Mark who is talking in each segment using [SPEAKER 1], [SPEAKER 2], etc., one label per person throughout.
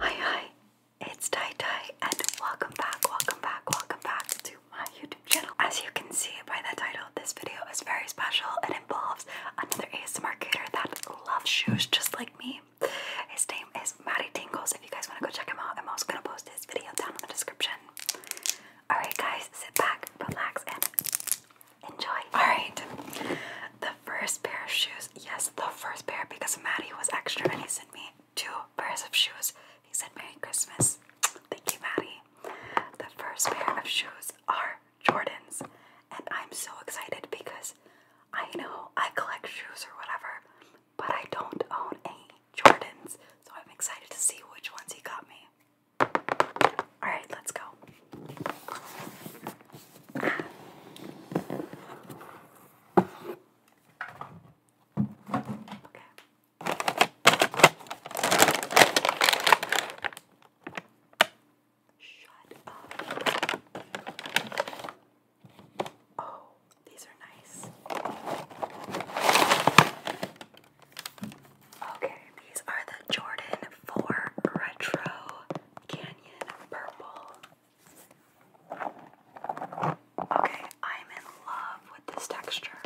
[SPEAKER 1] Hi, hi, it's Tai Tai, and welcome back, welcome back, welcome back to my YouTube channel. As you can see by the title, this video is very special. It involves another ASMR creator that loves shoes just like me, his name is Matty Tingles. If you guys want to go check him out, I'm also going to post his video down in the description. Alright, guys, sit back, relax, and enjoy. Alright, the first pair of shoes. Yes, the first pair because Matty was extra and he sent me two pairs of shoes. He said, Merry Christmas. Thank you, Matty. The first pair of shoes are Jordans, and I'm so excited because I know I collect shoes or whatever, but I don't own any Jordans, so I'm excited to see which ones he got me. Alright, let's go. Okay. Shut up. Oh, these are nice. Okay, these are the Jordan 4 Retro Canyon Purple. Okay, I'm in love with this texture.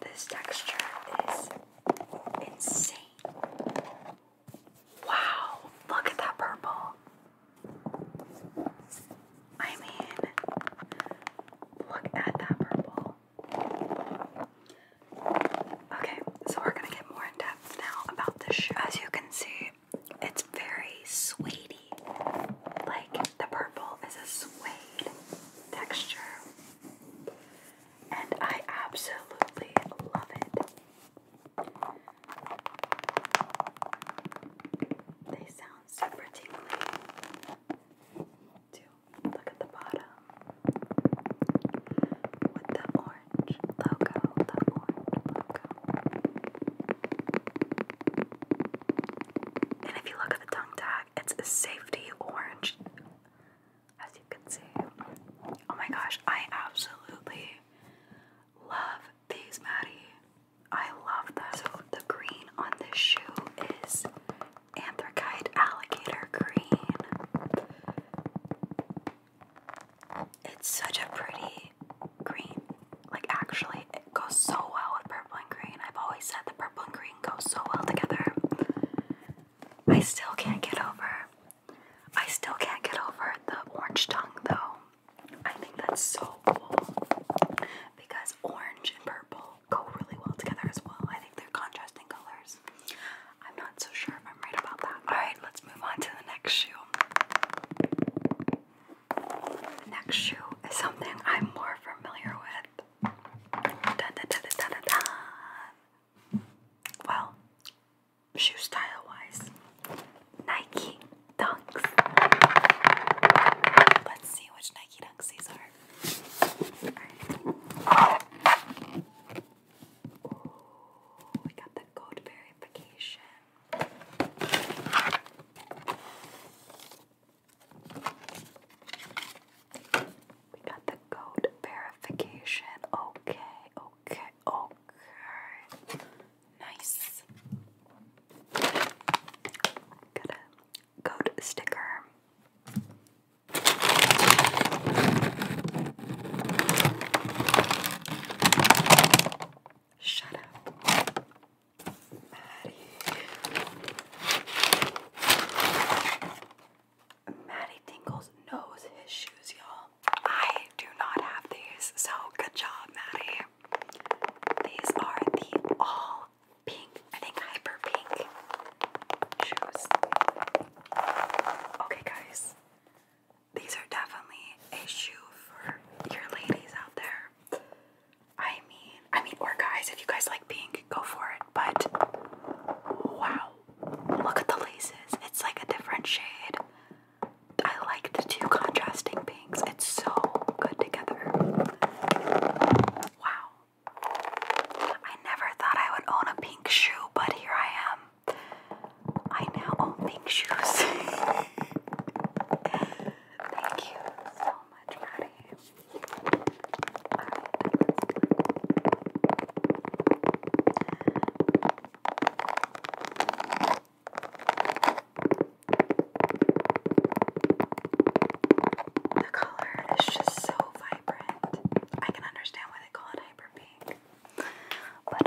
[SPEAKER 1] This texture is insane. Wow, look at that purple. I mean, look at that purple. Okay, so we're gonna get more in depth now about this shoe. As you can see, it's very suedey. Like the purple is a suede texture and I absolutely love it. They sound super tingly. Too. Look at the bottom with the orange logo. The orange logo. And if you look at the tongue tag, it's a safety orange as you can see. Oh my gosh, I absolutely love these, Maddie. I love them. the green on this shoe is anthracite alligator green. It's such a pretty green. Like actually, it goes so well with purple and green. I've always said the purple and green Go so well together. I still can't get over. I still can't get over the orange tongue though. I think that's so cool because orange and purple go really well together as well. I think they're contrasting colors. I'm not so sure if I'm right about that. Alright, let's move on to the next shoe. The next shoe is something I'm more familiar with. Dun, dun, Well, shoe style wise, Nike Dunks. Let's see which Nike Dunks these are. Right. we got the code verification. We got the code verification. Okay, okay, okay. Nice. Got a code sticker. Shut up. Maddie. Maddie Tingles knows his shoes, y'all. I do not have these, so good job, Maddie. These are the all pink, I think hyper pink shoes. Okay, guys, these are definitely a shoe for your ladies out there. I mean, I mean, or guys, if you guys like pink, go for it. But wow, look at the laces. It's like a different shade. I like the two contrasting pinks. It's so good together. Wow. I never thought I would own a pink shoe, but here I am. I now own pink shoes. Thank you so much, Maddie. The color is just so vibrant. I can understand why they call it hyper but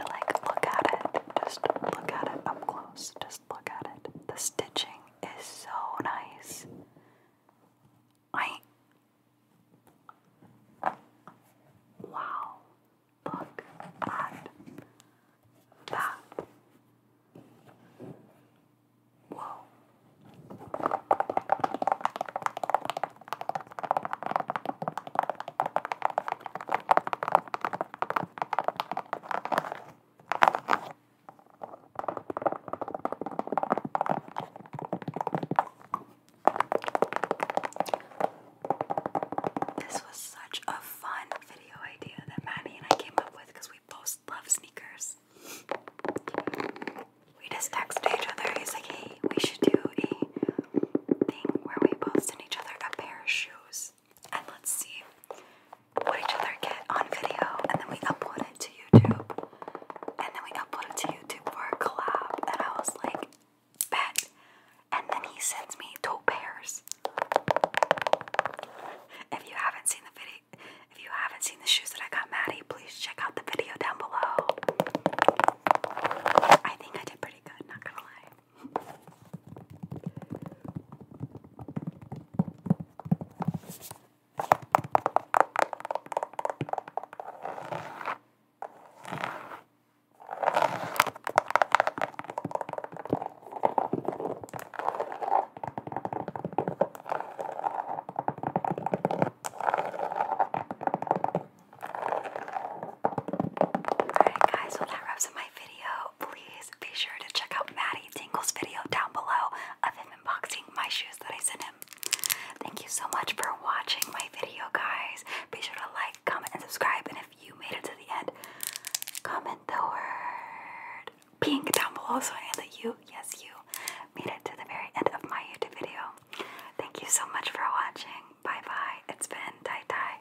[SPEAKER 1] like, look at it. Just look at it up close. Just look at it. The stitching is so nice. I. Wow. Look at that. Whoa. This was such a fun video idea that Manny and I came up with because we both love sneakers. We just texted each other. He's like, hey, we should do a thing where we both send each other a pair of shoes and let's see what each other get on video and then we upload it to YouTube. And then we upload it to YouTube for a collab and I was like, bet. And then he sends me two pairs. If you haven't seen the video if you haven't seen the shoes that I got Maddie, please check out the video down below. I think I did pretty pretty good, not gonna lie. Alright guys, well that wraps up my video. Please be sure to check out Maddie Tingle's video down below of him unboxing my shoes that I sent him. Thank you so much for watching my video guys. Be sure to like, comment, and subscribe. And if you made it to the end, comment the word pink down below so I know that you, yes you, made it to the very end of my YouTube video. Thank you so much for watching. Bye bye. It's been Tai Tai.